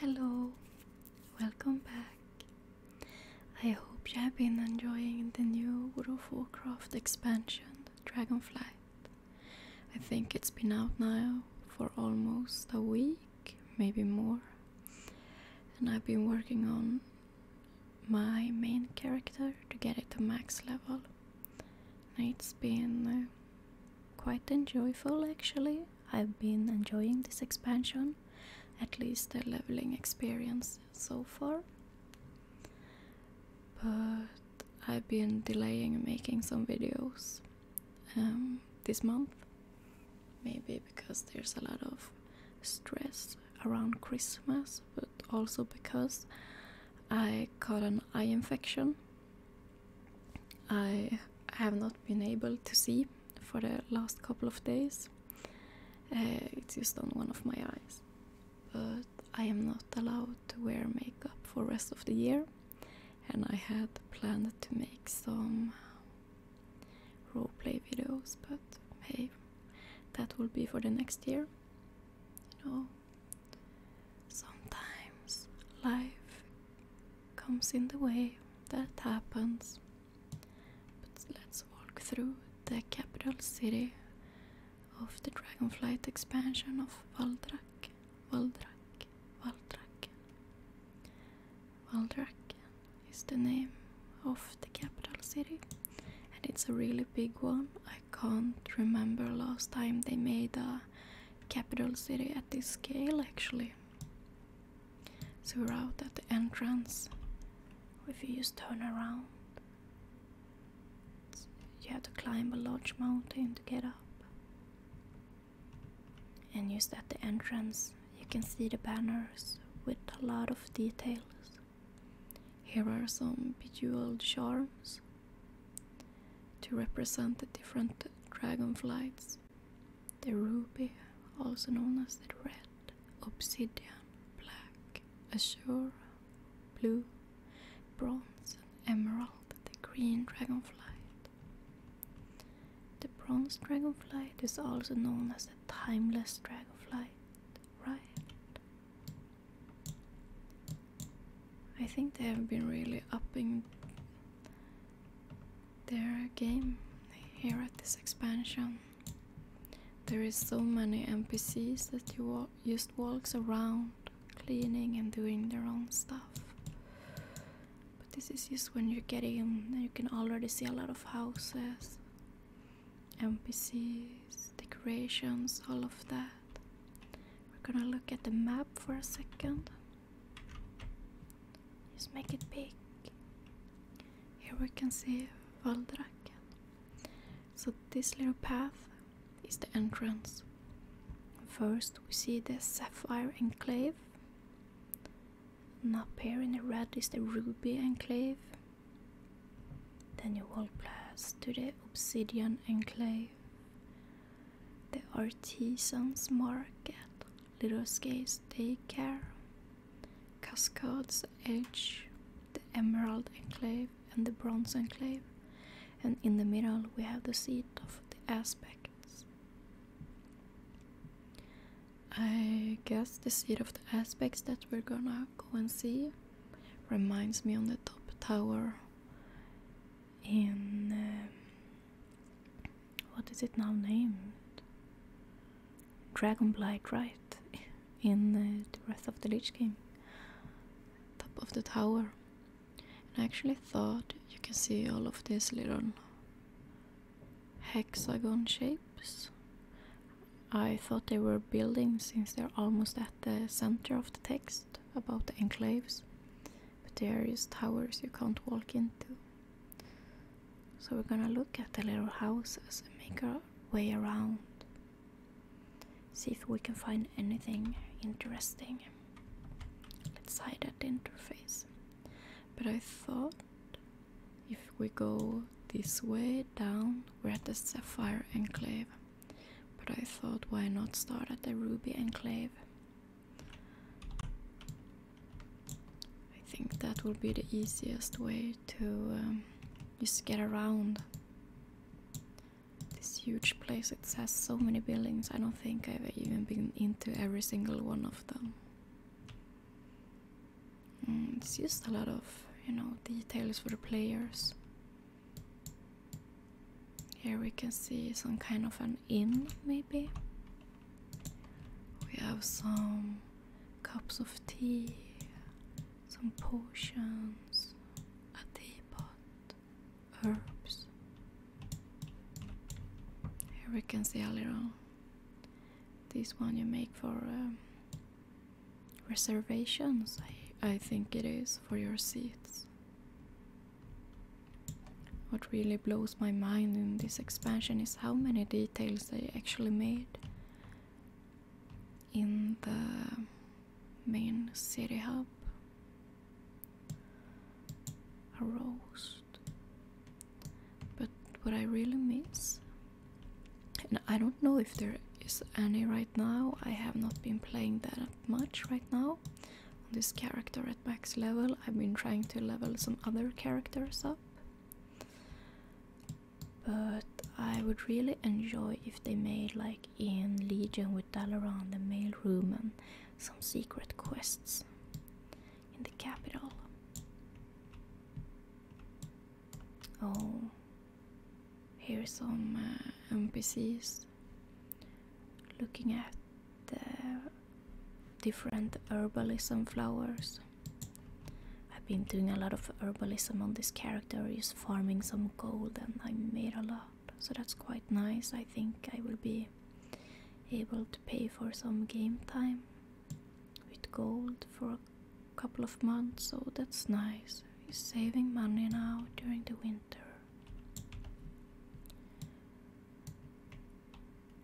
Hello, welcome back. I hope you have been enjoying the new World of Warcraft expansion, Dragonflight. I think it's been out now for almost a week, maybe more. And I've been working on my main character to get it to max level. It's been uh, quite enjoyable actually. I've been enjoying this expansion, at least the leveling experience so far. But I've been delaying making some videos um, this month, maybe because there's a lot of stress around Christmas, but also because I got an eye infection I have not been able to see for the last couple of days. Uh, it's just on one of my eyes. But I am not allowed to wear makeup for rest of the year, and I had planned to make some roleplay videos, but hey, that will be for the next year. You know, sometimes life comes in the way, that happens. But let's walk through the capital city of the Dragonflight expansion of Valdrak, Valdrak, Valdrak. Valdraken is the name of the capital city, and it's a really big one. I can't remember last time they made a capital city at this scale, actually. So we're out at the entrance. If you just turn around, you have to climb a large mountain to get up. And just at the entrance, you can see the banners with a lot of details. Here are some bejeweled charms to represent the different dragon flights. The ruby, also known as the red, obsidian, black, azure, blue, bronze, and emerald, the green dragonflight. The bronze dragonflight is also known as the timeless dragonflight, right? I think they have been really upping there are game here at this expansion. There is so many NPCs that you wa just walks around cleaning and doing their own stuff. But this is just when you are getting, you can already see a lot of houses, NPCs, decorations, all of that. We're gonna look at the map for a second. Just make it big. Here we can see Valdraken. So this little path is the entrance. First we see the Sapphire Enclave. Now up here in the red is the Ruby Enclave. Then you will pass to the Obsidian Enclave. The Artisans Market. Little Skates Take Care, Cascade's Edge, the Emerald Enclave, and the Bronze Enclave, and in the middle we have the seat of the aspects. I guess the seat of the aspects that we're gonna go and see reminds me on the top tower in. Um, what is it now named? Dragonblight, right? In uh, the Wrath of the Lich King. Top of the tower. And I actually thought you can see all of these little hexagon shapes. I thought they were buildings since they're almost at the center of the text about the enclaves. But they are just towers you can't walk into. So we're gonna look at the little houses and make our way around. See if we can find anything interesting. Let's hide at interface. But I thought if we go this way down, we're at the Sapphire Enclave. But I thought why not start at the Ruby Enclave? I think that will be the easiest way to um, just get around this huge place. It has so many buildings, I don't think I've even been into every single one of them. Mm, it's just a lot of, you know, details for the players. Here we can see some kind of an inn, maybe. We have some cups of tea, some potions, a teapot, herbs. Here we can see a little. This one you make for um, reservations, I, I think it is, for your seats. What really blows my mind in this expansion is how many details they actually made in the main city hub. A roast. But what I really miss, and I don't know if there is any right now, I have not been playing that much right now. On this character at max level, I've been trying to level some other characters up. But I would really enjoy if they made like in Legion with Dalaran the mail room and some secret quests in the capital. Oh, here's some uh, NPCs looking at the different herbalism flowers. I've been doing a lot of herbalism on this character, is farming some gold, and I made a lot, so that's quite nice. I think I will be able to pay for some game time with gold for a couple of months, so that's nice. He's saving money now during the winter.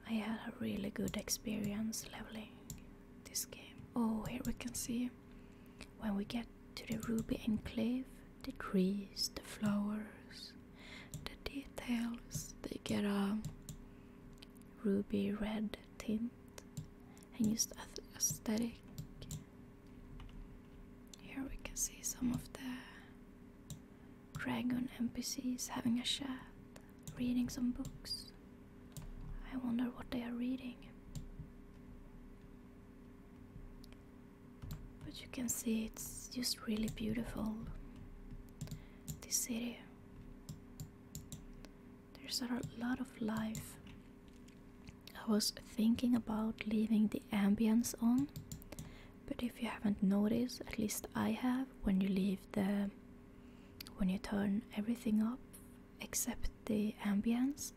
I had a really good experience leveling this game. Oh, here we can see when we get to the Ruby Enclave, the trees, the flowers, the details, they get a ruby red tint and used aesthetic. Here we can see some of the Dragon NPCs having a chat, reading some books. I wonder what they are reading. But you can see it's just really beautiful. This city. There's a lot of life. I was thinking about leaving the ambience on, but if you haven't noticed, at least I have, when you leave the when you turn everything up except the ambience,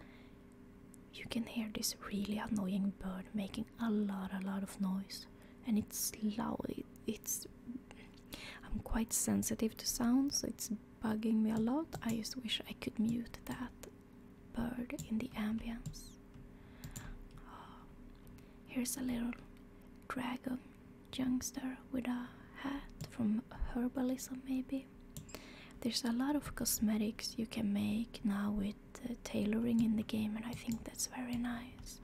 you can hear this really annoying bird making a lot, a lot of noise, and it's loud. it's I'm quite sensitive to sounds, so it's bugging me a lot. I just wish I could mute that bird in the ambience. Ah, here's a little dragon youngster with a hat from herbalism maybe there's a lot of cosmetics you can make now with tailoring in the game and i think that's very nice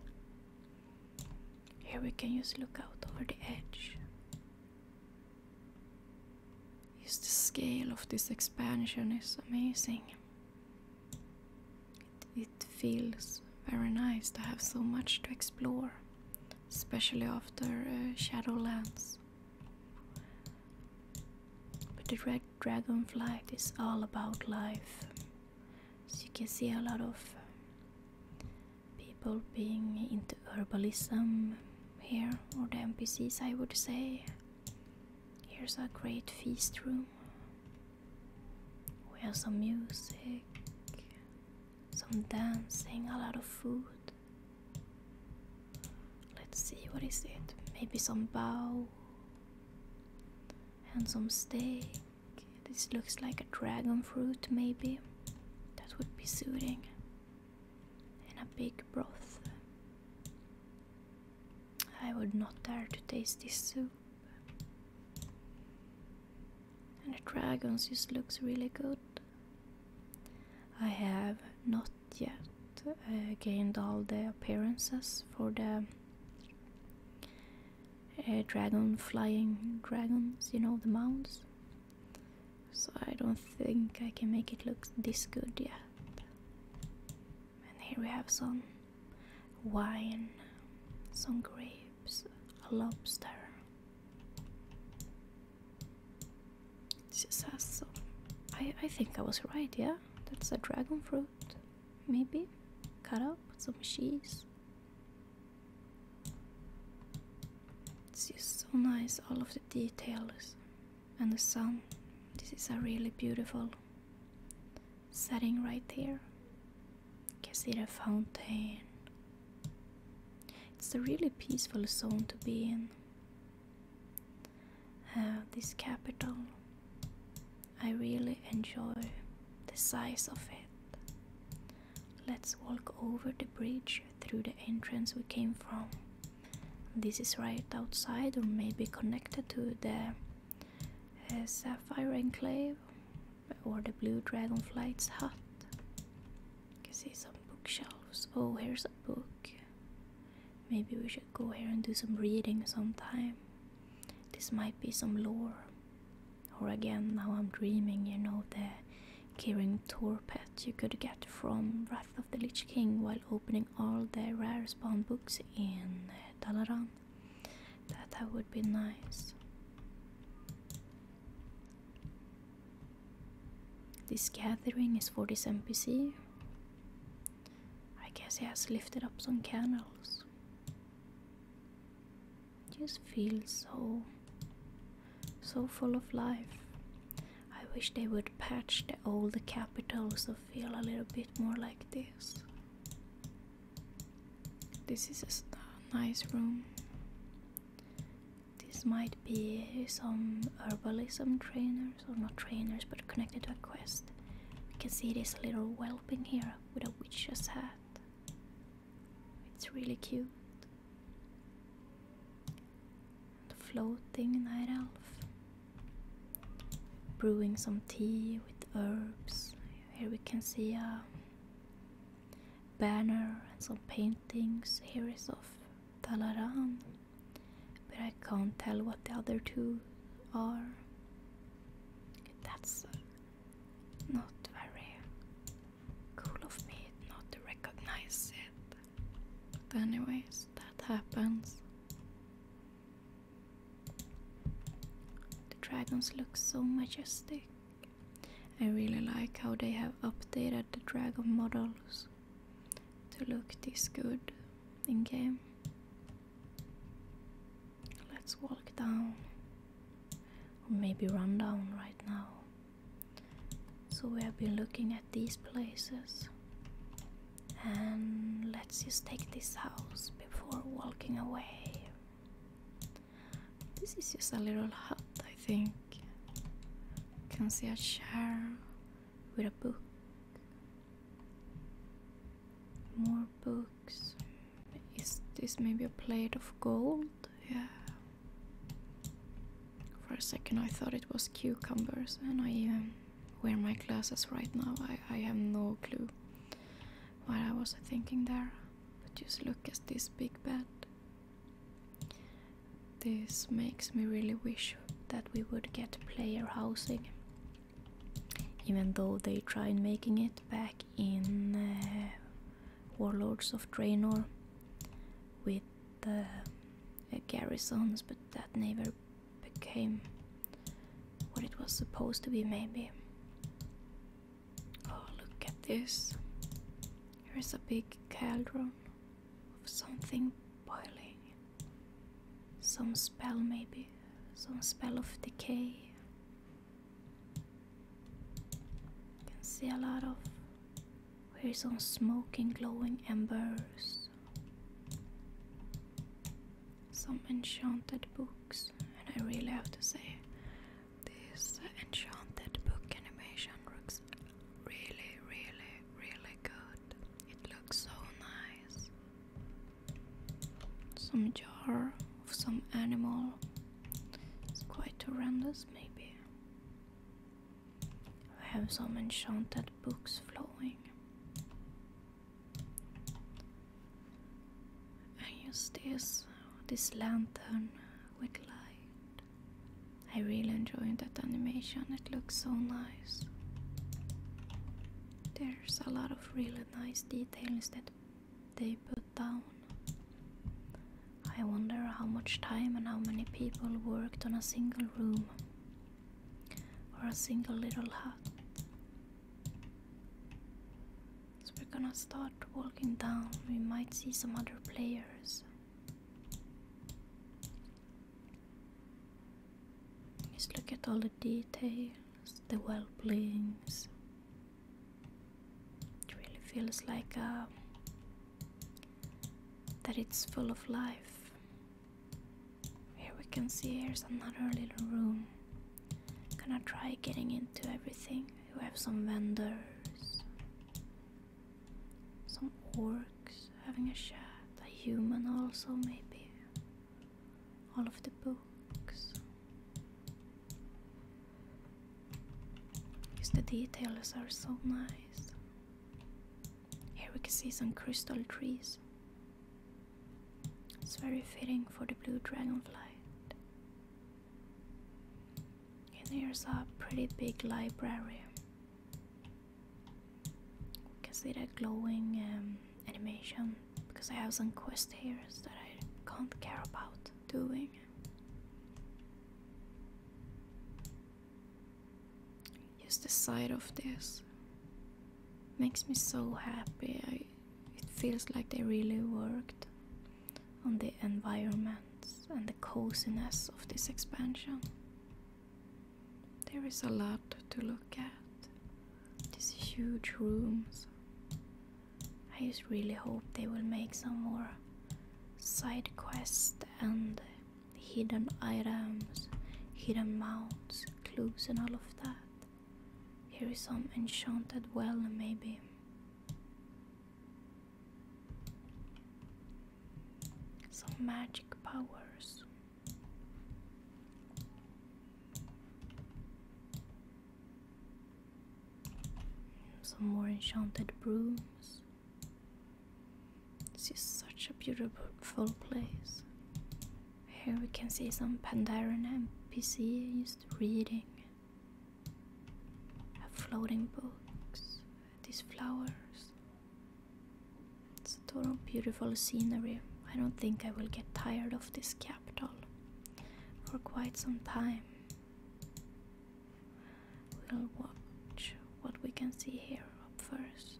here we can just look out over the edge just the scale of this expansion is amazing it, feels very nice to have so much to explore, especially after uh, Shadowlands. But the Red Dragonflight is all about life. So you can see a lot of people being into herbalism here, or the NPCs I would say. Here's a great feast room. We have some music, some dancing, a lot of food. Let's see, what is it? Maybe some bow and some steak. This looks like a dragon fruit, maybe. That would be soothing. in a big broth. I would not dare to taste this soup and the dragons just looks really good. I have not yet uh, gained all the appearances for the uh, dragon flying dragons, you know, the mounts. So I don't think I can make it look this good yet. And here we have some wine, some grapes a lobster. It has some. I, I think I was right, yeah? That's a dragon fruit. Maybe? Cut up some cheese. It's just so nice, all of the details. And the sun. This is a really beautiful setting right there can see the fountain. It's a really peaceful zone to be in. Uh, this capital, I really enjoy the size of it. Let's walk over the bridge through the entrance we came from. This is right outside, or maybe connected to the uh, Sapphire Enclave or the blue dragonflight's hut. You can see some bookshelves. Oh, here's a book. Maybe we should go here and do some reading sometime. This might be some lore. Or again, now I'm dreaming, you know, the Kirin Torpet you could get from Wrath of the Lich King while opening all the rare spawn books in uh, Dalaran. That would be nice. This gathering is for this NPC. I guess he has lifted up some candles. Just feels so so full of life. I wish they would patch the old capitals to feel a little bit more like this. This is a nice room. This might be some herbalism trainers, or not trainers, but connected to a quest. We can see this little whelping here with a witch's hat. It's really cute. The floating night elf. Brewing some tea with herbs. Here we can see a um, banner and some paintings. Here is of Talaran, but I can't tell what the other two are. That's not very cool of me not to recognize it. But anyways, that happens. The dragons look so majestic. I really like how they have updated the dragon models to look this good in game. Let's walk down, or maybe run down right now. So we have been looking at these places, and let's just take this house before walking away. This is just a little hut, I think. You can see a chair with a book. More books. Is this maybe a plate of gold? Yeah. For a second I thought it was cucumbers and I um, wear my glasses right now. I, I have no clue. While I was thinking there, just look at this big bed. This makes me really wish that we would get player housing, even though they tried making it back in uh, Warlords of Draenor with the uh, garrisons, but that never became what it was supposed to be, maybe. Oh, look at this. Here's a big cauldron of something boiling. Some spell, maybe. Some spell of decay. You can see a lot of. Here's some smoking, glowing embers. Some enchanted books, and I really have to say, this enchanted book animation looks really, really, really good. It looks so nice. Some jar of some animal. It's quite horrendous, maybe. We have some enchanted books flowing. I use this this lantern with light. I really enjoy that animation, it looks so nice. There's a lot of really nice details that they put down. I wonder how much time and how many people worked on a single room or a single little hut. So we're gonna start walking down. We might see some other players. Just look at all the details, the well blings. It really feels like uh, that it's full of life. Here we can see here's another little room. Gonna try getting into everything. We have some vendors, some orcs having a chat, a human also, maybe. All of the books. Because the details are so nice. Here we can see some crystal trees. It's very fitting for the blue dragonfly. And here's a pretty big library. You can see that glowing um, animation because I have some quest here that I can't care about doing. Just the sight of this makes me so happy. it feels like they really worked on the environments and the coziness of this expansion. There is a lot to look at. These huge rooms. I just really hope they will make some more side quests and hidden items, hidden mounts, clues, and all of that. Here is some enchanted well, maybe. Some magic powers. Some more enchanted brooms. This is such a beautiful place. Here we can see some Pandaren NPC just reading floating books, these flowers. It's a total beautiful scenery. I don't think I will get tired of this capital for quite some time. We'll watch what we can see here up first.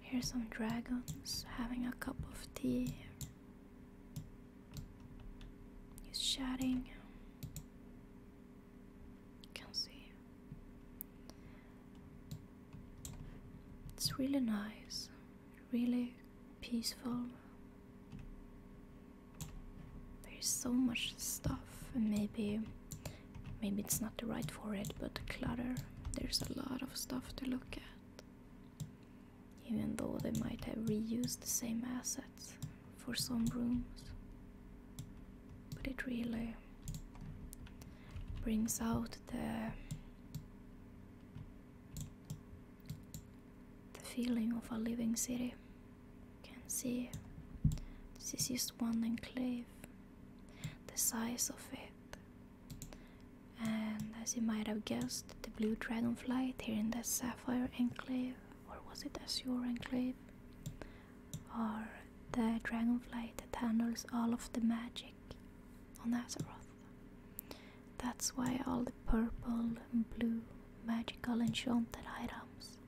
Here's some dragons having a cup of tea. He's chatting. can see. It's really nice, really peaceful. There's so much stuff. Maybe, maybe it's not the right for it, but clutter. There's a lot of stuff to look at even though they might have reused the same assets for some rooms. But it really brings out the feeling of a living city. You can see this is one enclave, the size of it. And as you might have guessed, the blue dragonfly here in the sapphire enclave or was it Azure Enclave? Or the dragonflight that handles all of the magic on Azeroth. That's why all the purple and blue magical enchanted items.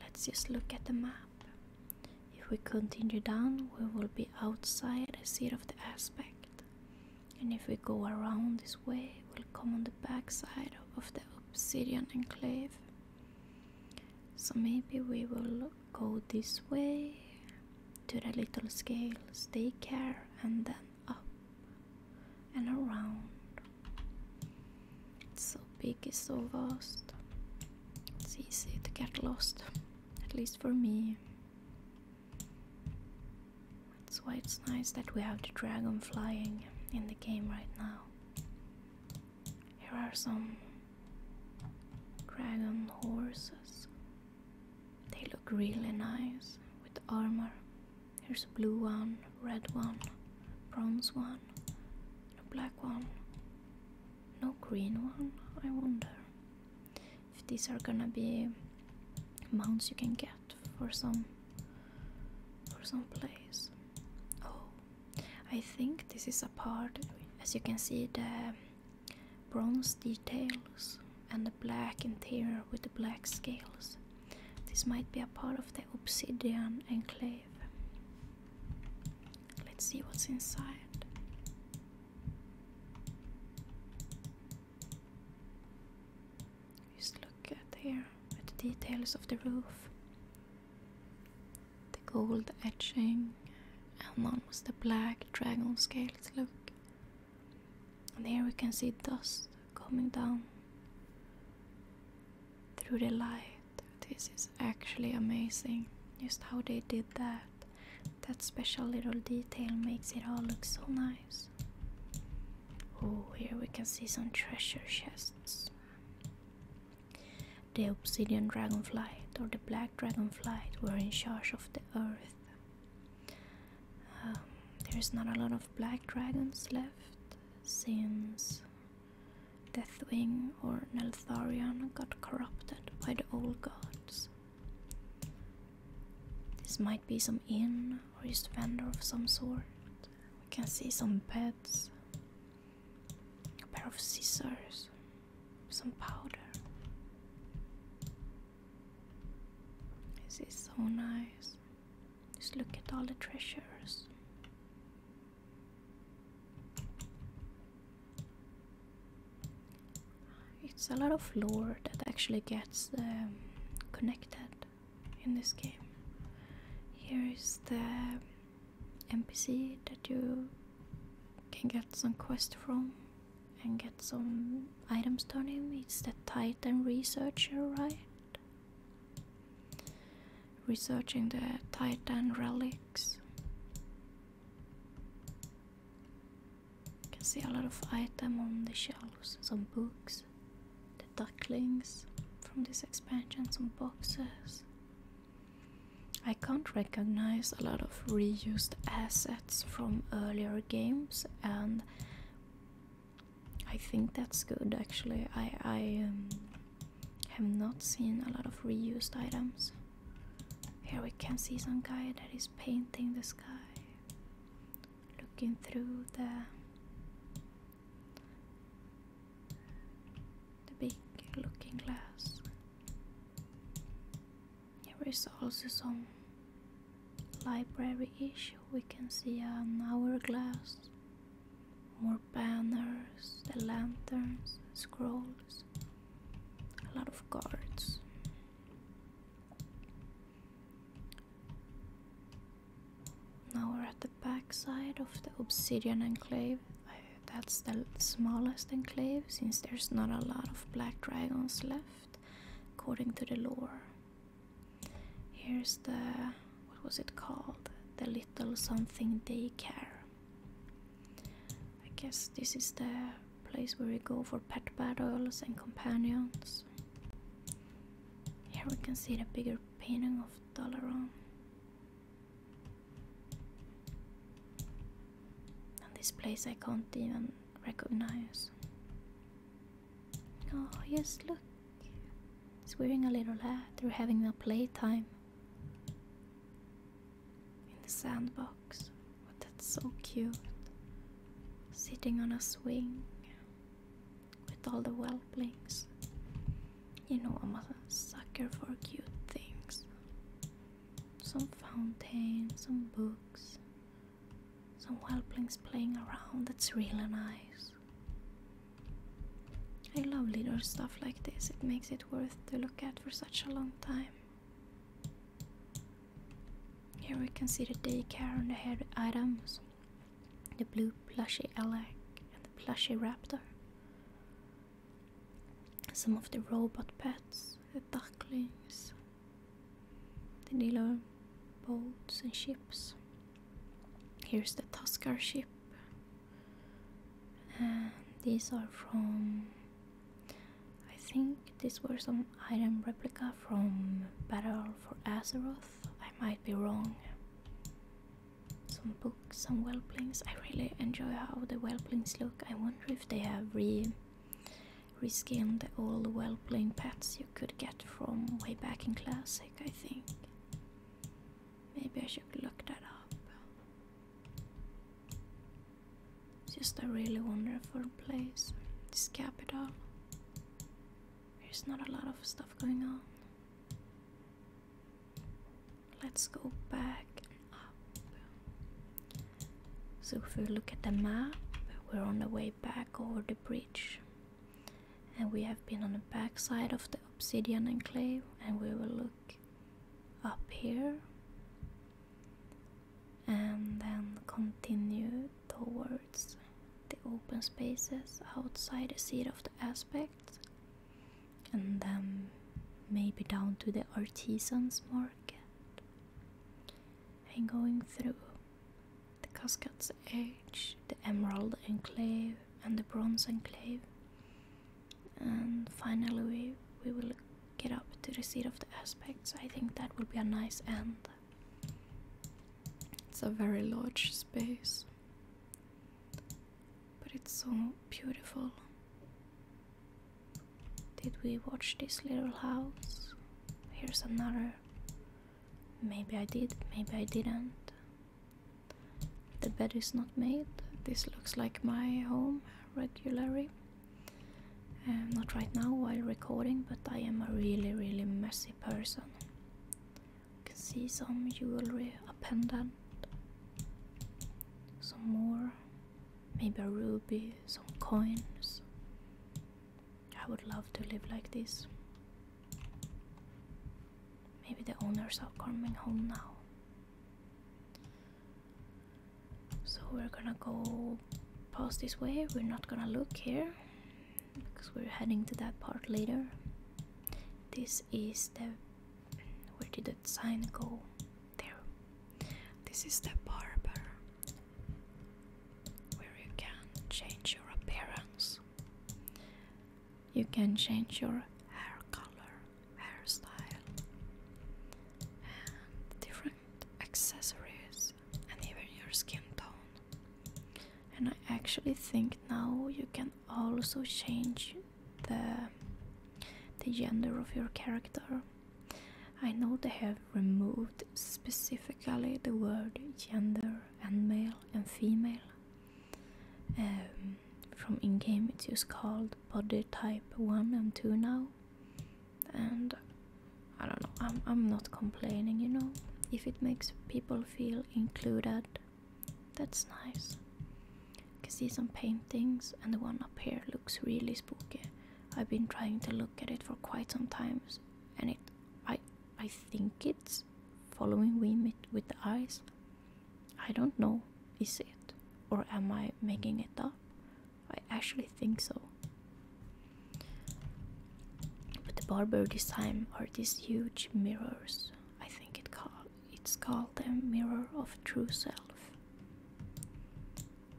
Let's just look at the map. If we continue down, we will be outside the seat of the aspect. And if we go around this way, we'll come on the back side of the obsidian enclave. So maybe we will go this way to the little scales, daycare, and then up and around. It's so big, it's so vast. It's easy to get lost, at least for me. That's why it's nice that we have the dragon flying in the game right now. Here are some dragon horses. They look really nice with armor. There's a blue one, red one, bronze one, a black one. No green one, I wonder if these are gonna be mounts you can get for some for some place. Oh, I think this is a part. As you can see, the bronze details and the black interior with the black scales. This might be a part of the obsidian enclave. Let's see what's inside. Just look at here at the details of the roof. The gold etching and almost the black dragon scales look. And here we can see dust coming down through the light. This is actually amazing. Just how they did that. That special little detail makes it all look so nice. Oh, here we can see some treasure chests. The obsidian dragonflight or the black dragonflight were in charge of the earth. Um, there's not a lot of black dragons left since Deathwing or Neltharion got corrupted by the old gods. This might be some inn or a vendor of some sort. We can see some beds, a pair of scissors, some powder. This is so nice. Just look at all the treasures. It's a lot of lore that actually gets um, connected in this game. Here is the NPC that you can get some quest from and get some items on him. It's the Titan researcher, right? Researching the Titan relics. You can see a lot of item on the shelves, some books the ducklings from this expansion, some boxes. I can't recognize a lot of reused assets from earlier games, and I think that's good actually. I, I um, have not seen a lot of reused items. Here we can see some guy that is painting the sky, looking through the the big looking glass. Here is also some library issue. We can see an hourglass, more banners, the lanterns, scrolls, a lot of cards. Now we're at the back side of the Obsidian Enclave. that's the smallest enclave since there's not a lot of black dragons left, according to the lore. Here's the. what was it called? The Little Something Daycare. I guess this is the place where we go for pet battles and companions. Here we can see the bigger painting of Dalaran. And this place I can't even recognize. Oh yes, look. It's wearing a little hat. They're having a playtime. In the sandbox. Oh, that's so cute. Sitting on a swing with all the whelplings. You know, I'm a sucker for cute things. Some fountain, some books, some whelplings playing around. That's really nice. I love little stuff like this. It makes it worth to look at for such a long time. Here we can see the daycare and the head items the blue plushy Alec and the plushy raptor. Some of the robot pets, the ducklings, the little boats and ships. Here's the Tuskar ship. And these are from. I think these were some item replica from Battle for Azeroth. I might be wrong. Some books, some whelplings. I really enjoy how the whelplings look. I wonder if they have re reskinned all the old whelpling pets you could get from way back in classic, I think. Maybe I should look that up. just a really wonderful place. This capital. There's not a lot of stuff going on. Let's go back up. So if we look at the map, we're on the way back over the bridge. And we have been on the back side of the obsidian enclave and we will look up here and then continue towards the open spaces outside the seat of the aspects, and then maybe down to the artisans market, and going through the Cascad's Edge, the Emerald Enclave, and the Bronze Enclave, and finally we, we will get up to the seat of the aspects. I think that will be a nice end. It's a very large space, but it's so beautiful. Did we watch this little house? Here's another. Maybe I did, maybe I didn't. The bed is not made. This looks like my home regularly. Um, not right now while recording, but I am a really, really messy person can see some jewelry, a pendant, some more, maybe a ruby, some coins. I would love to live like this. Maybe the owners are coming home now. So we're gonna go past this way. We're not gonna look here because we're heading to that part later. This is the where did that sign go? There. This is the barber where you can change your appearance. You can change your hair color, hairstyle, and different accessories, and even your skin tone and I actually think now you can also change the the gender of your character. I know they have removed specifically the word gender and male and female. Um, from in game, it's just called body type one and two now, and I don't know. I'm I'm not complaining, you know. If it makes people feel included, that's nice. You can see some paintings, and the one up here looks really spooky. I've been trying to look at it for quite some times, and it, I, I think it's following we meet with the eyes. I don't know. Is it, or am I making it up? I actually think so. But the barber design time are these huge mirrors. I think it's called the mirror of true self.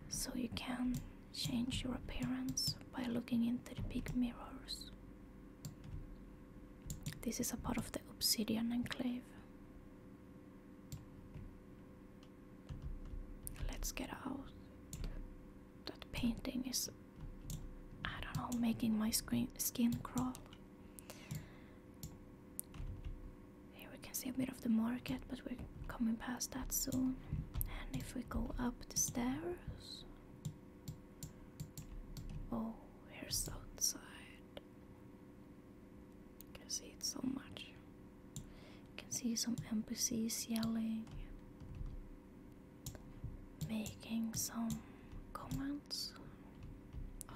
So you can change your appearance by looking into the big mirrors. This is a part of the Obsidian Enclave. Let's get out. That painting is I don't know, making my screen skin crawl. Here we can see a bit of the market, but we're coming past that soon. And if we go up the stairs, oh, here's outside. You can see it so much. You can see some NPCs yelling, making some comments. Oh.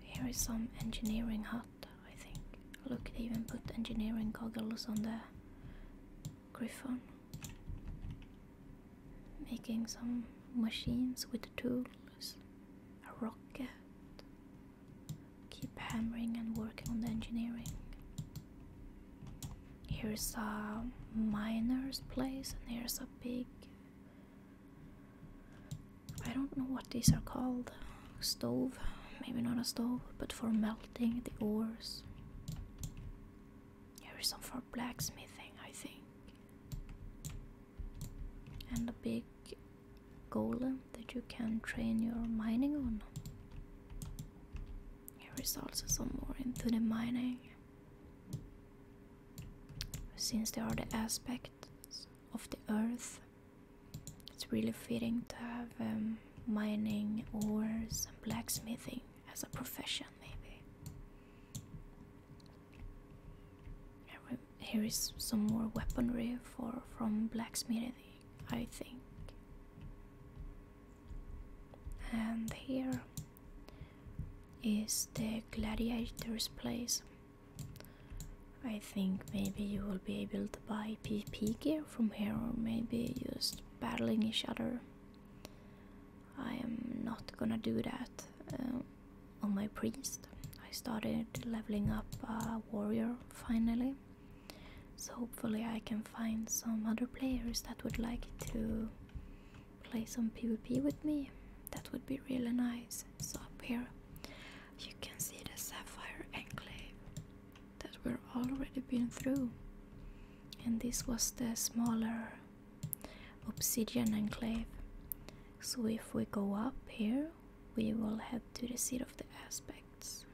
Here is some engineering hut, I think. Look, they even put engineering goggles on the griffin, Making some machines with tools. A rocket. Keep hammering and working on the engineering. Here's a miner's place, and here's a big. I don't know what these are called. Stove, maybe not a stove, but for melting the ores. Here is some for blacksmithing, I think. And a big golem that you can train your mining on. Here is also some more into the mining. Since they are the aspects of the earth, it's really fitting to have um, mining, ores, and blacksmithing as a profession, maybe. Here is some more weaponry for from blacksmithing, I think. And here is the gladiator's place. I think maybe you will be able to buy PP gear from here, or maybe just battling each other. I am not gonna do that uh, on my priest. I started leveling up a warrior finally, so hopefully I can find some other players that would like to play some PvP with me, that would be really nice. So up here you can see the Sapphire Enclave that we're already been through. And this was the smaller Obsidian Enclave. So if we go up here, we will head to the Seat of the Aspects.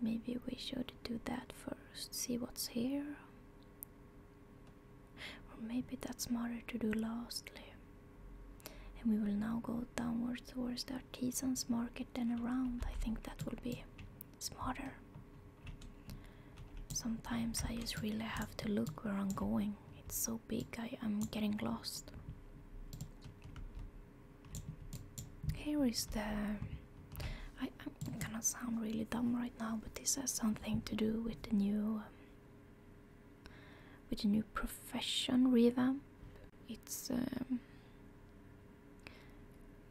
Maybe we should do that first, see what's here. Or maybe that's smarter to do lastly. And we will now go downwards towards the artisans market and around. I think that will be smarter. Sometimes I just really have to look where I'm going. It's so big, I'm getting lost. Here is the. I, am gonna sound really dumb right now, but this has something to do with the new. Um, with the new profession revamp. It's. Um,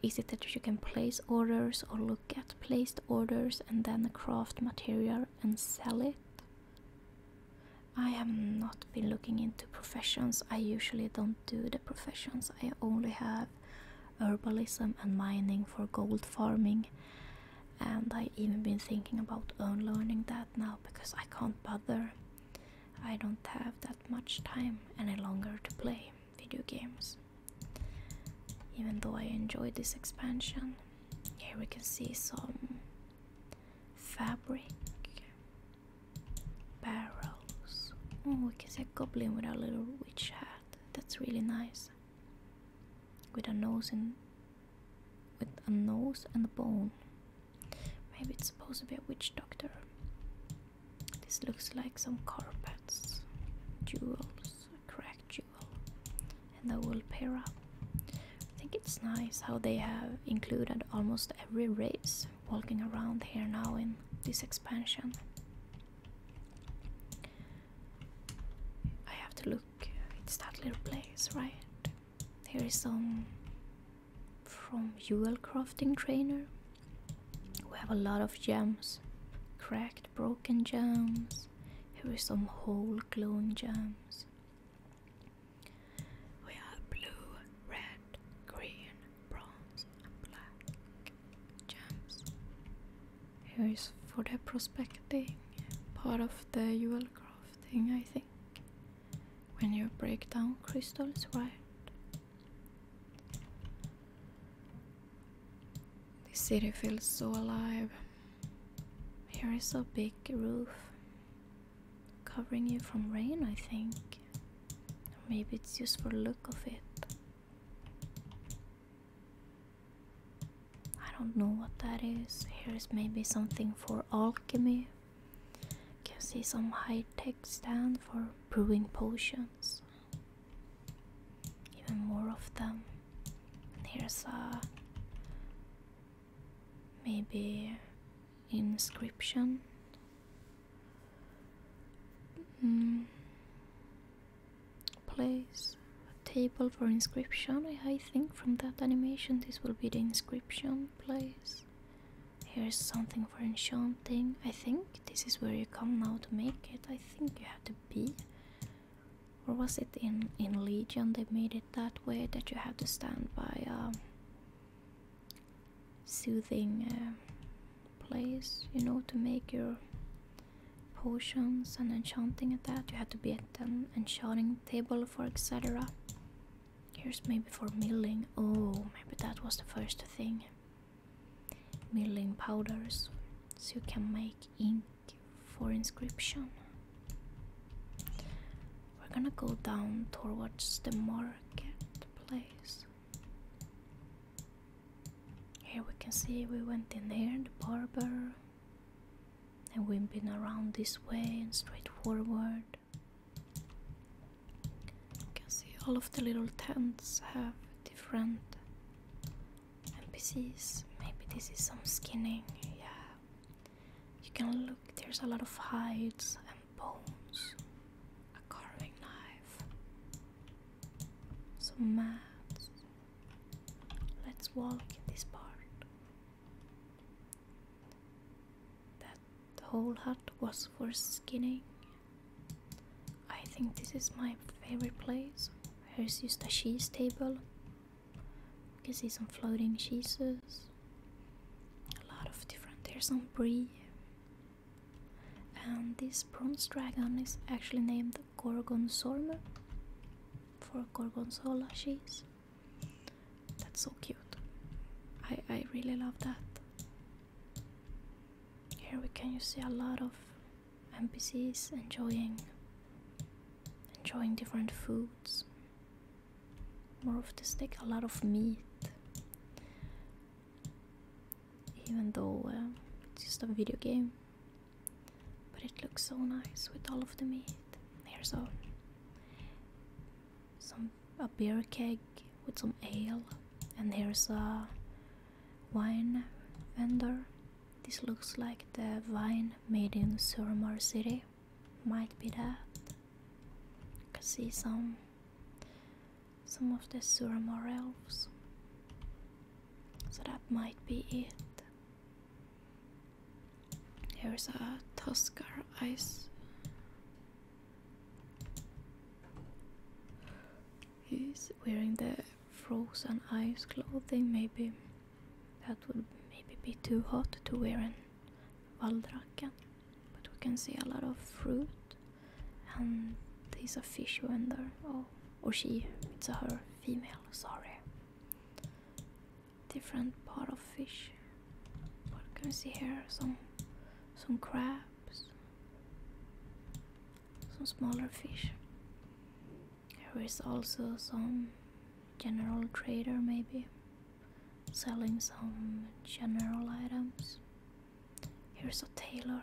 is it that you can place orders or look at placed orders and then craft material and sell it? I have not been looking into professions. I usually don't do the professions. I only have herbalism and mining for gold farming. And I've even been thinking about unlearning that now because I can't bother. I don't have that much time any longer to play video games. Even though I enjoy this expansion. Here we can see some fabric. Barrels. Oh, we can see a goblin with a little witch hat. That's really nice. With a nose and with a nose and a bone. Maybe it's supposed to be a witch doctor. This looks like some carpets, jewels, a cracked jewel, and a wool pair up. I think it's nice how they have included almost every race walking around here now in this expansion. I have to look, it's that little place, right? Here is some from Jewel Crafting Trainer. We have a lot of gems, cracked, broken gems. Here is some whole clone gems. We have blue, red, green, bronze, black gems. Here is for the prospecting part of the jewel crafting, I think. When you break down crystals, right? The city feels so alive. Here is a big roof covering you from rain, I think. Maybe it's just for the look of it. I don't know what that is. Here is maybe something for alchemy. Can see some high-tech stand for brewing potions. Even more of them. Here's a uh, maybe inscription Mm. Place a table for inscription. I, think from that animation this will be the inscription place. Here's something for enchanting. I think this is where you come now to make it. I think you have to be. Or was it in, in Legion they made it that way that you have to stand by um, soothing uh, place, you know, to make your potions and enchanting at that. You had to be at an enchanting table for etc. Here's maybe for milling. Oh, maybe that was the first thing. Milling powders. So you can make ink for inscription. We're gonna go down towards the marketplace. Here we can see we went in here, the barber, and we've been around this way and straight forward. You can see all of the little tents have different NPCs. Maybe this is some skinning, yeah. You can look, there's a lot of hides and bones, a carving knife. So maps. Let's walk in this part. That the whole hut was for skinning. I think this is my favorite place. Here's just a cheese table. You can see some floating cheeses. A lot of different. There's some brie. And this bronze dragon is actually named Gorgonzola. for Gorgonzola cheese. That's so cute. I, I really love that. Here we can you see a lot of NPCs enjoying enjoying different foods. More of the stick, a lot of meat even though uh, it's just a video game. But it looks so nice with all of the meat. Here's a some a beer keg with some ale, and there's a wine vendor. This looks like the wine made in Suramar City. Might be that. I can see some some of the Suramore elves. So that might be it. Here's a Tuskar ice. He's wearing the frozen ice clothing, maybe that would maybe be too hot to wear in Valdraken. But we can see a lot of fruit and there's a fish vendor. or oh, oh, she, it's a her, female, sorry. Different part of fish. What can we see here? Some, some crabs, some smaller fish. There is also some general trader, maybe selling some general items. Here's a tailor.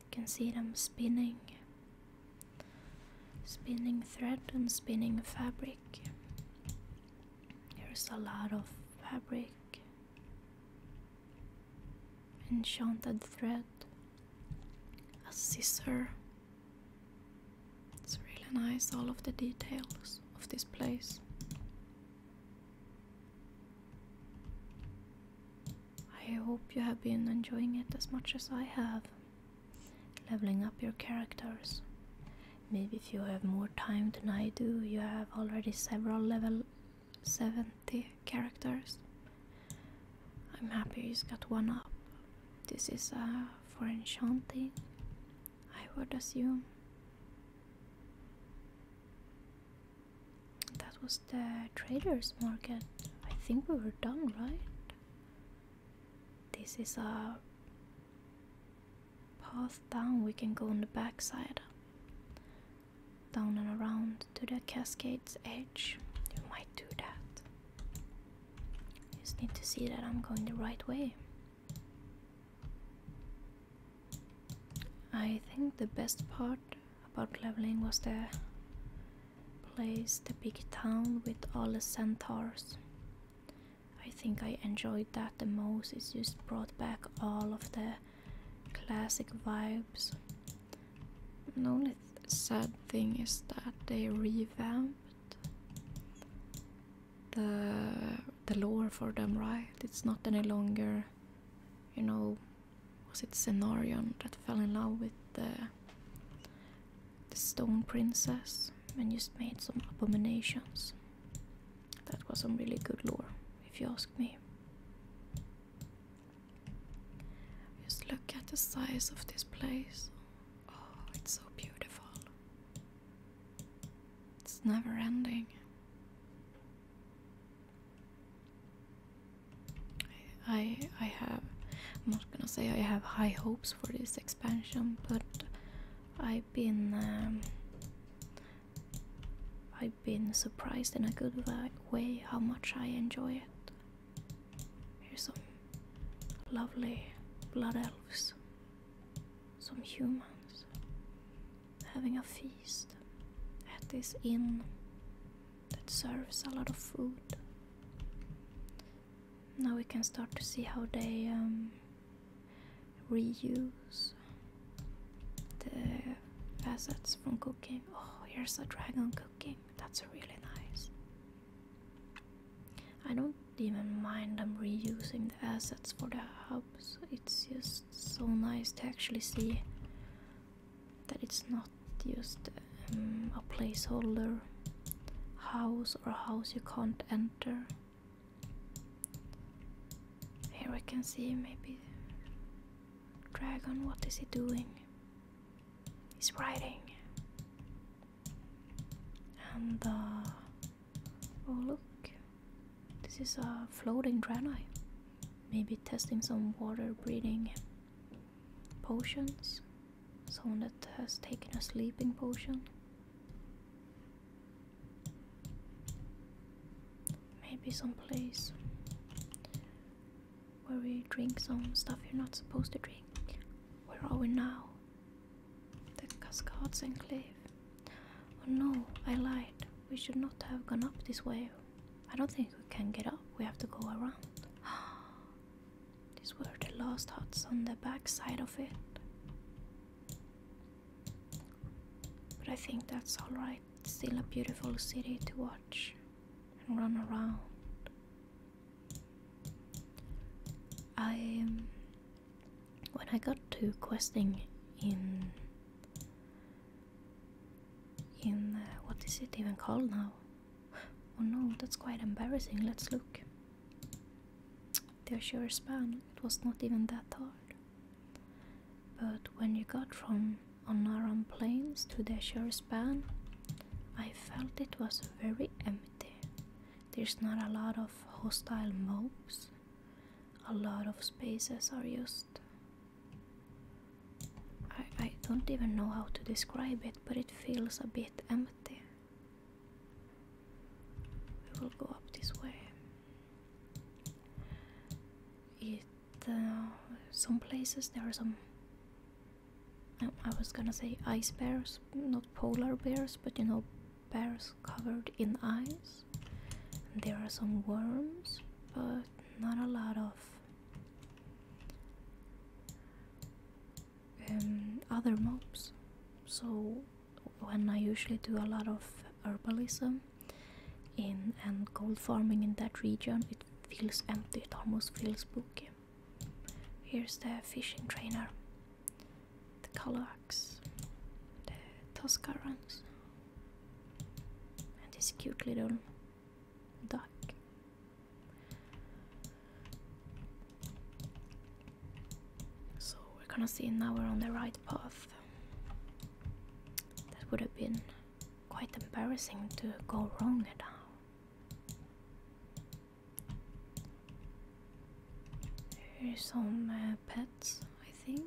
You can see them spinning, spinning thread and spinning fabric. There's a lot of fabric, enchanted thread, a scissor. It's really nice, all of the details of this place. I hope you have been enjoying it as much as I have. Leveling up your characters. Maybe if you have more time than I do, you have already several level 70 characters. I'm happy he's got one up. This is uh, for enchanting, I would assume. That was the traders market. I think we were done, right? This is a path down. We can go on the back side. Down and around to the cascade's edge. You might do that. Just need to see that I'm going the right way. I think the best part about leveling was the place, the big town with all the centaurs. I think I enjoyed that the most. It just brought back all of the classic vibes. The only sad thing is that they revamped the the lore for them, right? It's not any longer, you know, was it Cenarion that fell in love with the, the stone princess and just made some abominations? That was some really good lore, if you ask me. Just look at the size of this place. Oh, it's so beautiful. It's never ending. I, I have I'm not gonna say I have high hopes for this expansion, but I've been um, I've been surprised in a good way how much I enjoy it. Here's some lovely blood elves, some humans, having a feast at this inn that serves a lot of food. Now we can start to see how they um, reuse the assets from cooking. Oh, here's a dragon cooking. That's really nice. I don't even mind them reusing the assets for the hubs. It's just so nice to actually see that it's not just um, a placeholder house or house you can't enter. Here we can see maybe dragon. What is he doing? He's riding. And uh, oh look, this is a floating granite. Maybe testing some water breathing potions. Someone that has taken a sleeping potion. Maybe some place where we drink some stuff you're not supposed to drink. Where are we now? The Cascades Enclave. Oh no, I lied. We should not have gone up this way. I don't think we can get up. We have to go around. These were the last huts on the back side of it. But I think that's alright. Still a beautiful city to watch and run around. I um, when I got to questing in in uh, what is it even called now? Oh no, that's quite embarrassing. Let's look. The Azure span, it was not even that hard. But when you got from Onaran Plains to the Azure span, I felt it was very empty. There's not a lot of hostile mobs. A lot of spaces are used. I I don't even know how to describe it, but it feels a bit empty. We will go up this way. It uh, some places there are some. I was gonna say ice bears, not polar bears, but you know bears covered in ice. there are some worms, but not a lot of um, other mobs. So when I usually do a lot of herbalism in and gold farming in that region, it feels empty. It almost feels spooky. Here's the fishing trainer, the Colorax, the Tuscarans, and this cute little duck. So we're gonna see now we're on the right path. That would have been quite embarrassing to go wrong now. Here's some uh, pets, I think.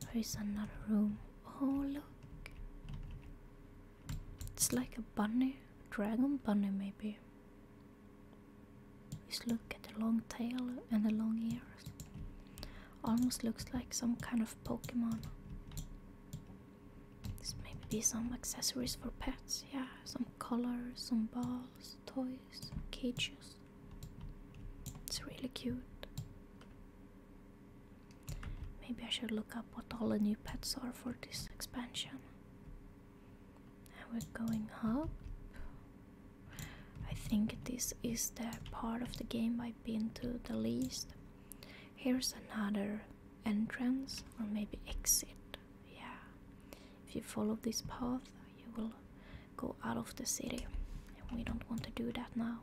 There is another room. Oh, look. It's like a bunny. Dragon bunny, maybe. Just look at the long tail and the long ears. Almost looks like some kind of Pokemon. This may be some accessories for pets. Yeah, some collars, some balls, toys, cages. It's really cute. Maybe I should look up what all the new pets are for this expansion. And we're going up. I think this is the part of the game I've been to the least. Here's another entrance or maybe exit. Yeah. If you follow this path, you will go out of the city. And we don't want to do that now.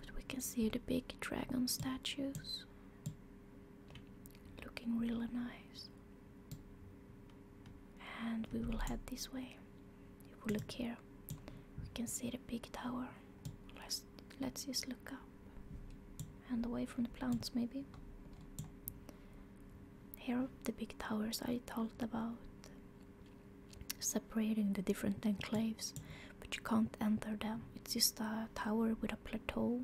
But we can see the big dragon statues looking really nice. And we will head this way. If we look here, we can see the big tower. Let's, let's just look up and away from the plants, maybe. Here are the big towers I talked about separating the different enclaves, but you can't enter them. It's just a tower with a plateau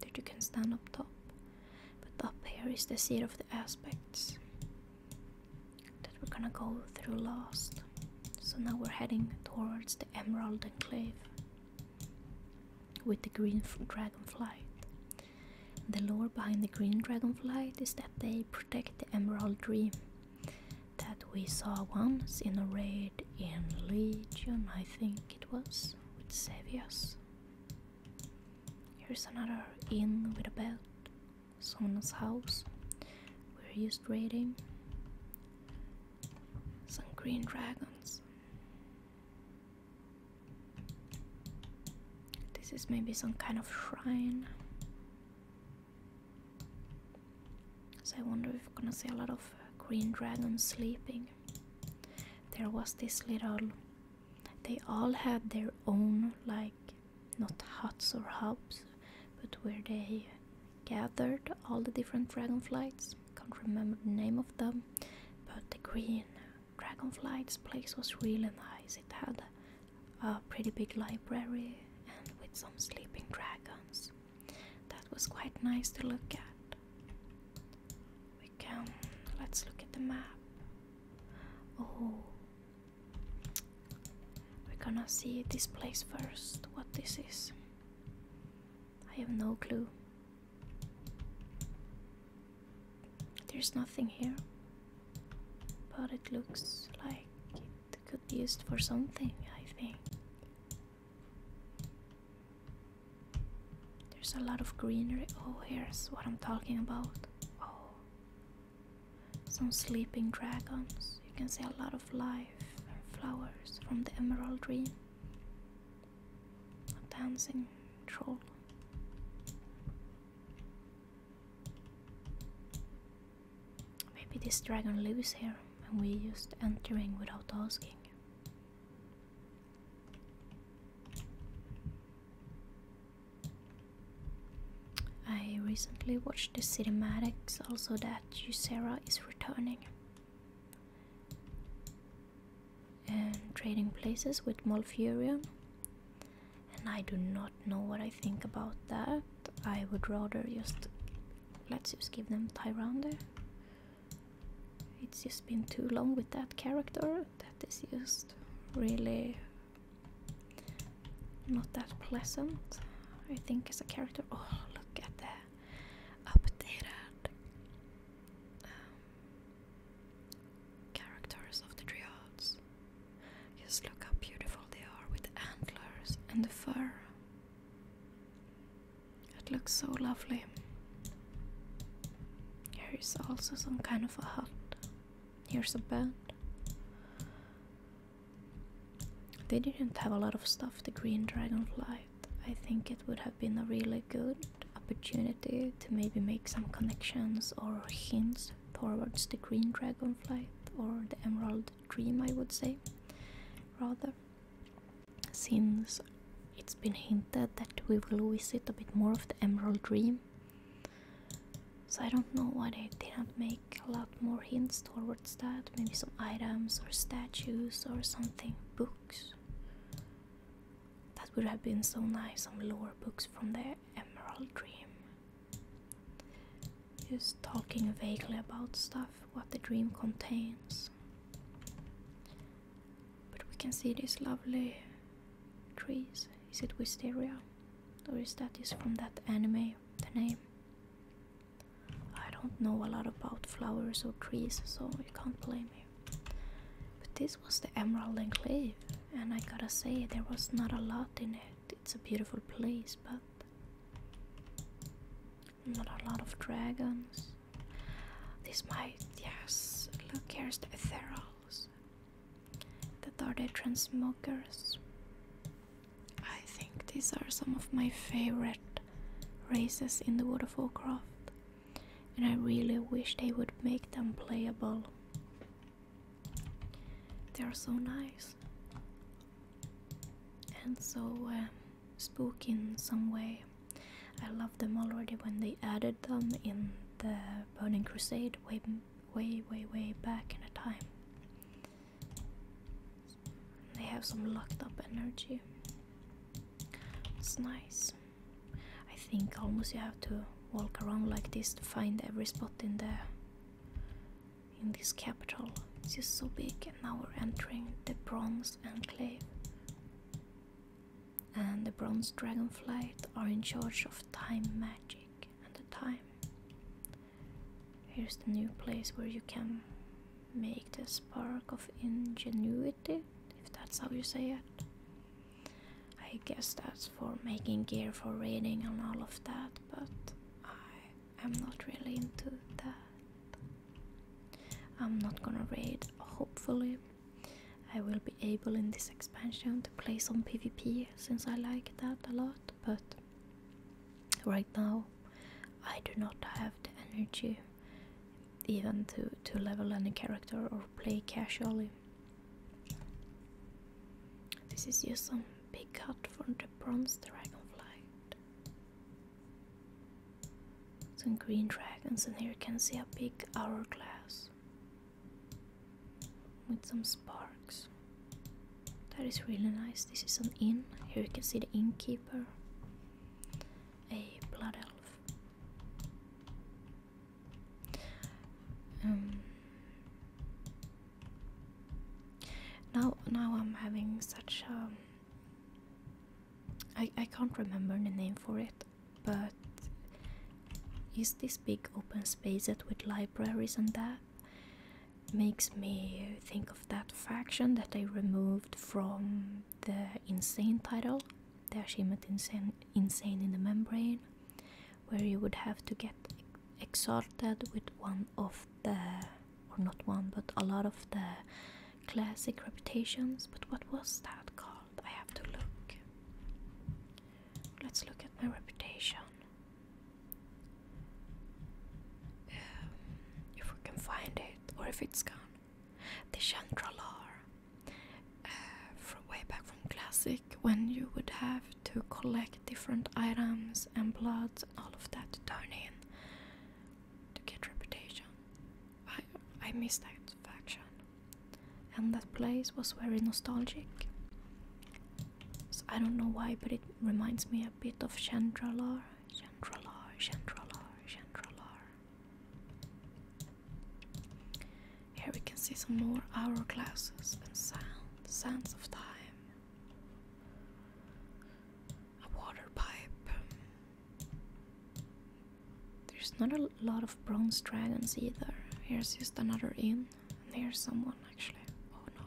that you can stand up top. But up here is the seat of the aspects that we're gonna go through last. So now we're heading towards the Emerald Enclave with the green Dragonflight. The lore behind the green Dragonflight is that they protect the Emerald Dream that we saw once in a raid in Legion, I think it was, with Sevius. Here's another inn with a belt, someone's house. We're used raiding. Some green dragons. This is maybe some kind of shrine. So I wonder if we're gonna see a lot of uh, green dragons sleeping. There was this little. They all had their own, like, not huts or hubs, but where they gathered all the different dragonflights. Can't remember the name of them, but the green dragonflight's place was really nice. It had a pretty big library and with some sleeping dragons. That was quite nice to look at. We can let's look at the map. Oh, we're gonna see this place first. What this is, I have no clue. There's nothing here, but it looks like could be used for something, I think. There's a lot of greenery. Oh, here's what I'm talking about. Oh. Some sleeping dragons. You can see a lot of life and flowers from the emerald dream. A dancing troll. Maybe this dragon lives here and we just entering without asking. I recently watched the cinematics also that Ysera is returning and trading places with Malfurion and I do not know what I think about that. I would rather just let's just give them Tyrounder. It's just been too long with that character. That is just really not that pleasant. I think as a character. Oh, look at that updated um, characters of the triads. Just look how beautiful they are with antlers and the fur. It looks so lovely. Here is also some kind of a hut. Here's a bed. They didn't have a lot of stuff, the green dragonflight. I think it would have been a really good opportunity to maybe make some connections or hints towards the green dragonflight or the emerald dream, I would say, rather. Since it's been hinted that we will visit a bit more of the Emerald Dream. So I don't know why they didn't make a lot more hints towards that. Maybe some items or statues or something. Books. That would have been so nice. Some lore books from the Emerald Dream. Just talking vaguely about stuff, what the dream contains. But we can see these lovely trees. Is it wisteria? Or is that is from that anime, the name? I don't know a lot about flowers or trees, so you can't blame me. But this was the Emerald Enclave, and I gotta say, there was not a lot in it. It's a beautiful place, but not a lot of dragons. This might, yes. Look, here's the Ethereals. the are the transmogers. I think these are some of my favorite races in the World of and I really wish they would make them playable. They are so nice and so um, spooky in some way. I loved them already when they added them in the Burning Crusade way, way, way, way back in a time. They have some locked up energy. It's nice. I think almost you have to walk around like this to find every spot in there in this capital. It is just so big, and now we're entering the Bronze Enclave. And the Bronze Dragonflight are in charge of time magic and the time. Here's the new place where you can make the spark of ingenuity, if that's how you say it. I guess that's for making gear for raiding and all of that, but I I'm not really into that. I'm not gonna raid, hopefully. I will be able in this expansion to play some PvP since I like that a lot, but right now I do not have the energy even to, to level any character or play casually. This is just some Big cut from the bronze dragonflight. Some green dragons, and here you can see a big hourglass with some sparks. That is really nice. This is an inn. Here you can see the innkeeper, a blood elf. Um, now, now I'm having such a. Um, I I can't remember the name for it, but is this big open space that with libraries and that makes me think of that faction that they removed from the insane title, the achievement insane insane in the membrane, where you would have to get exalted with one of the or not one, but a lot of the classic reputations. But what was that called? I have to look. Let's look at my reputation. Um, if we can find it, or if it's gone. The Chantralar. Uh, from way back from Classic, when you would have to collect different items and blood, all of that to turn in to get reputation. I, I miss that faction. And that place was very nostalgic. So I don't know why, but it reminds me a bit of Chandralar. Chandralar, Chandralar, Chandralar. Here we can see some more hourglasses and sand, sands of time a water pipe. There's not a lot of bronze dragons either. Here's just another inn, and here's someone actually. Oh no.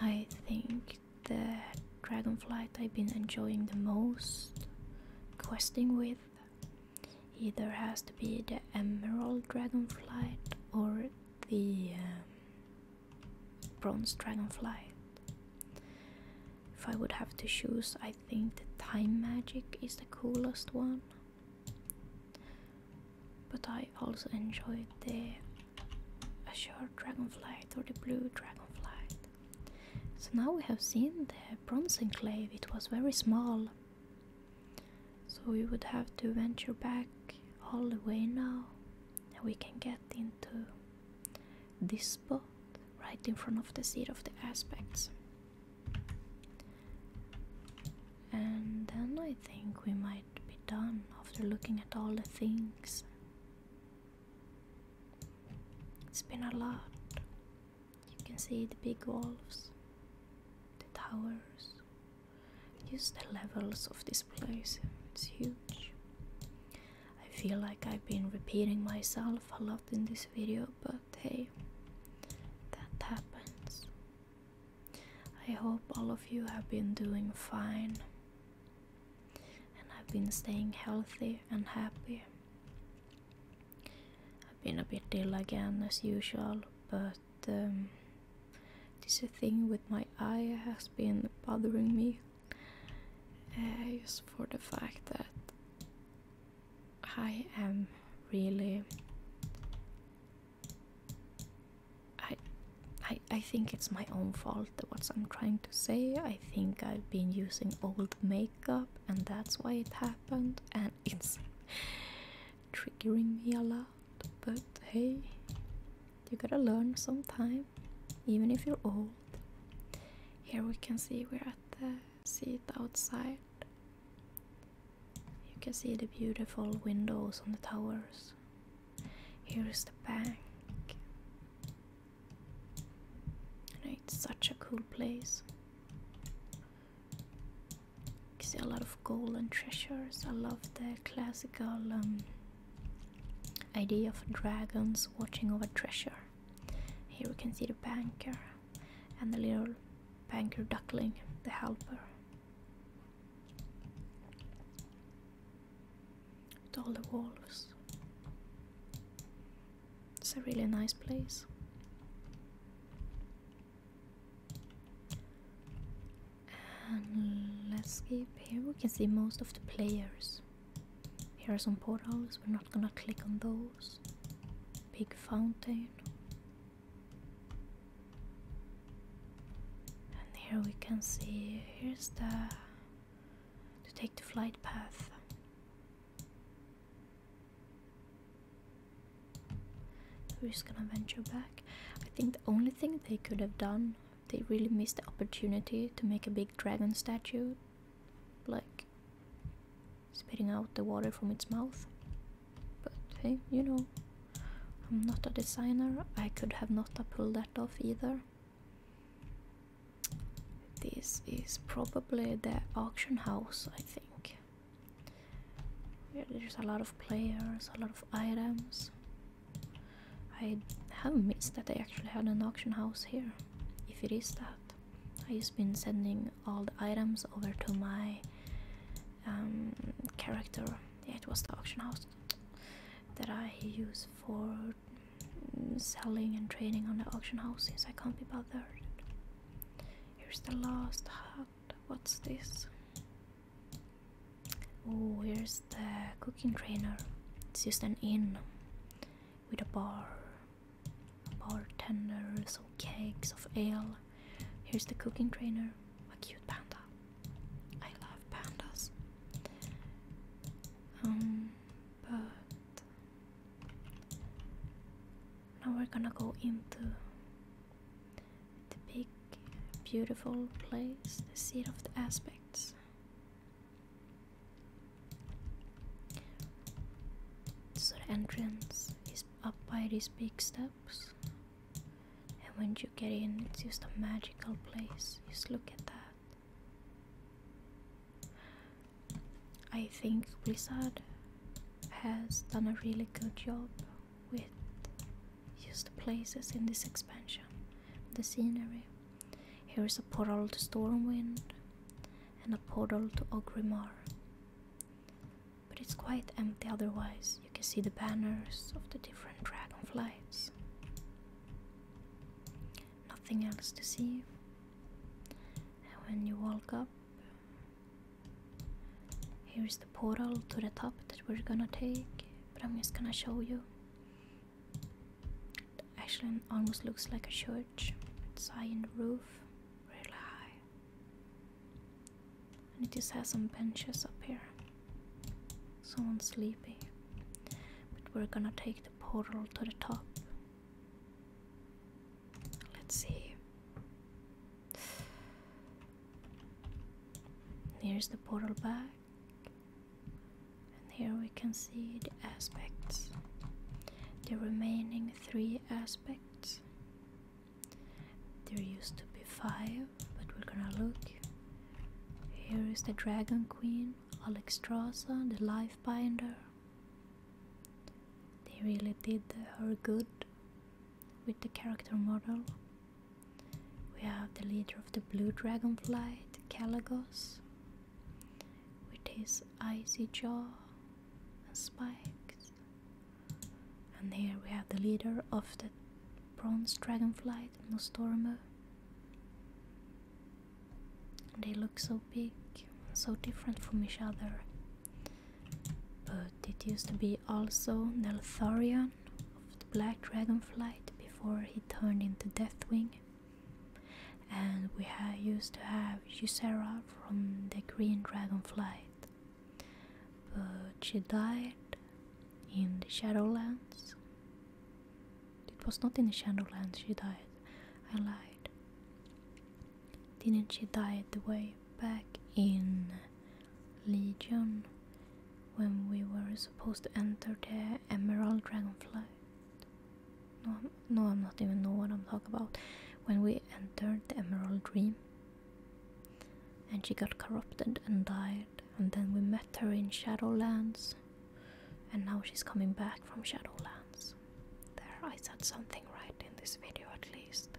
I think the dragonflight I've been enjoying the most questing with Either has to be the emerald dragonflight or the um, bronze dragonflight. If I would have to choose, I think the time magic is the coolest one. But I also enjoyed the azure dragonflight or the blue dragonflight. So now we have seen the bronze enclave, it was very small. So we would have to venture back all the way now, and we can get into this spot right in front of the seat of the aspects. And then I think we might be done after looking at all the things. It's been a lot. You can see the big wolves, the towers, Use the levels of this place, it's huge. I feel like I've been repeating myself a lot in this video, but hey, that happens. I hope all of you have been doing fine and I've been staying healthy and happy. I've been a bit ill again as usual, but that um, this thing with my eye has been bothering me uh, just for the fact that I am really I I I think it's my own fault what I'm trying to say. I think I've been using old makeup and that's why it happened and it's triggering me a lot but hey, you gotta learn sometime, even if you're old. Here we can see we're at the seat outside. You can see the beautiful windows on the towers. Here is the bank. it's such a cool place see a lot of gold and treasures. I love the classical um, idea of dragons watching over treasure. Here we can see the banker and the little banker duckling, the helper. With all the wolves. It's a really nice place let's skip here. We can see most of the players. Here are some portals. We're not gonna click on those. Big fountain. And here we can see. Here's the. To take the flight path. We're just gonna venture back. I think the only thing they could have done, they really missed the opportunity to make a big dragon statue, like spitting out the water from its mouth. But hey, you know, I'm not a designer. I could have not pulled that off either. This is probably the auction house, I think. There's a lot of players, a lot of items. I have missed that they actually had an auction house here. If it is that, I have been sending all the items over to my um, character. Yeah, it was the auction house that I use for selling and trading on the auction house since I can't be bothered. Here's the last hut. What's this? Oh, here's the cooking trainer. It's just an inn with a bar. Bartenders some cakes of ale. Here's the cooking trainer. A cute panda. I love pandas. Um, but now we're gonna go into the big, beautiful place, the seat of the aspects. So the entrance is up by these big steps, and when you get in, it's just a magical place. Just look at that. I think Blizzard has done a really good job with used places in this expansion. The scenery. Here is a portal to Stormwind and a portal to Ogrimmar. But it's quite empty otherwise. You can see the banners of the different dragonflies. Nothing else to see. And when you walk up, Here's the portal to the top that we're gonna take, but I'm just gonna show you. It actually almost looks like a church. It's high in the roof, really high. And it just has some benches up here. Someone's sleepy. But we're gonna take the portal to the top. Let's see. Here's the portal back, and here we can see the aspects, the remaining three aspects. There used to be five, but we're gonna look. Here is the Dragon Queen, Alexstrasza, the Life Binder. They really did her good with the character model. We have the leader of the blue Dragonflight, Calagos, with his icy jaw and spikes. And here we have the leader of the bronze Dragonflight, Nostormo. They look so big, so different from each other. But it used to be also Nelthoria, of the Black Dragonflight before he turned into Deathwing. And we used to have Ysera from the Green Dragonflight, but she died in the Shadowlands. It was not in the Shadowlands she died, I lied. Didn't she die the way back in Legion when we were supposed to enter the Emerald Dragonflight. No, I'm, no, I'm not even know what I'm talking about. When we entered the Emerald Dream, and she got corrupted and died, and then we met her in Shadowlands, and now she's coming back from Shadowlands. There, I said something right in this video at least.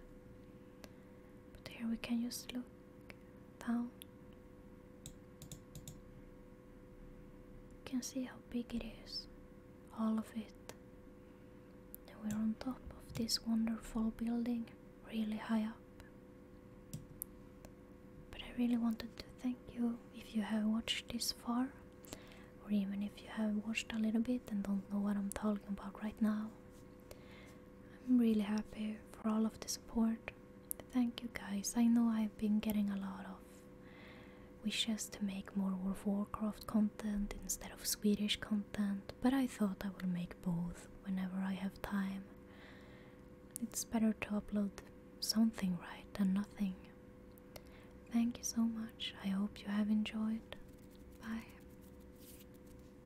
But here we can use look down. You can see how big it is, all of it. And we're on top of this wonderful building, really high up. But I really wanted to thank you if you have watched this far, or even if you have watched a little bit and don't know what I'm talking about right now. I'm really happy for all of the support. Thank you guys. I know I've been getting a lot of wishes to make more World of Warcraft content instead of Swedish content, but I thought I will make both whenever I have time. It's better to upload something right than nothing. Thank you so much. I hope you have enjoyed. Bye.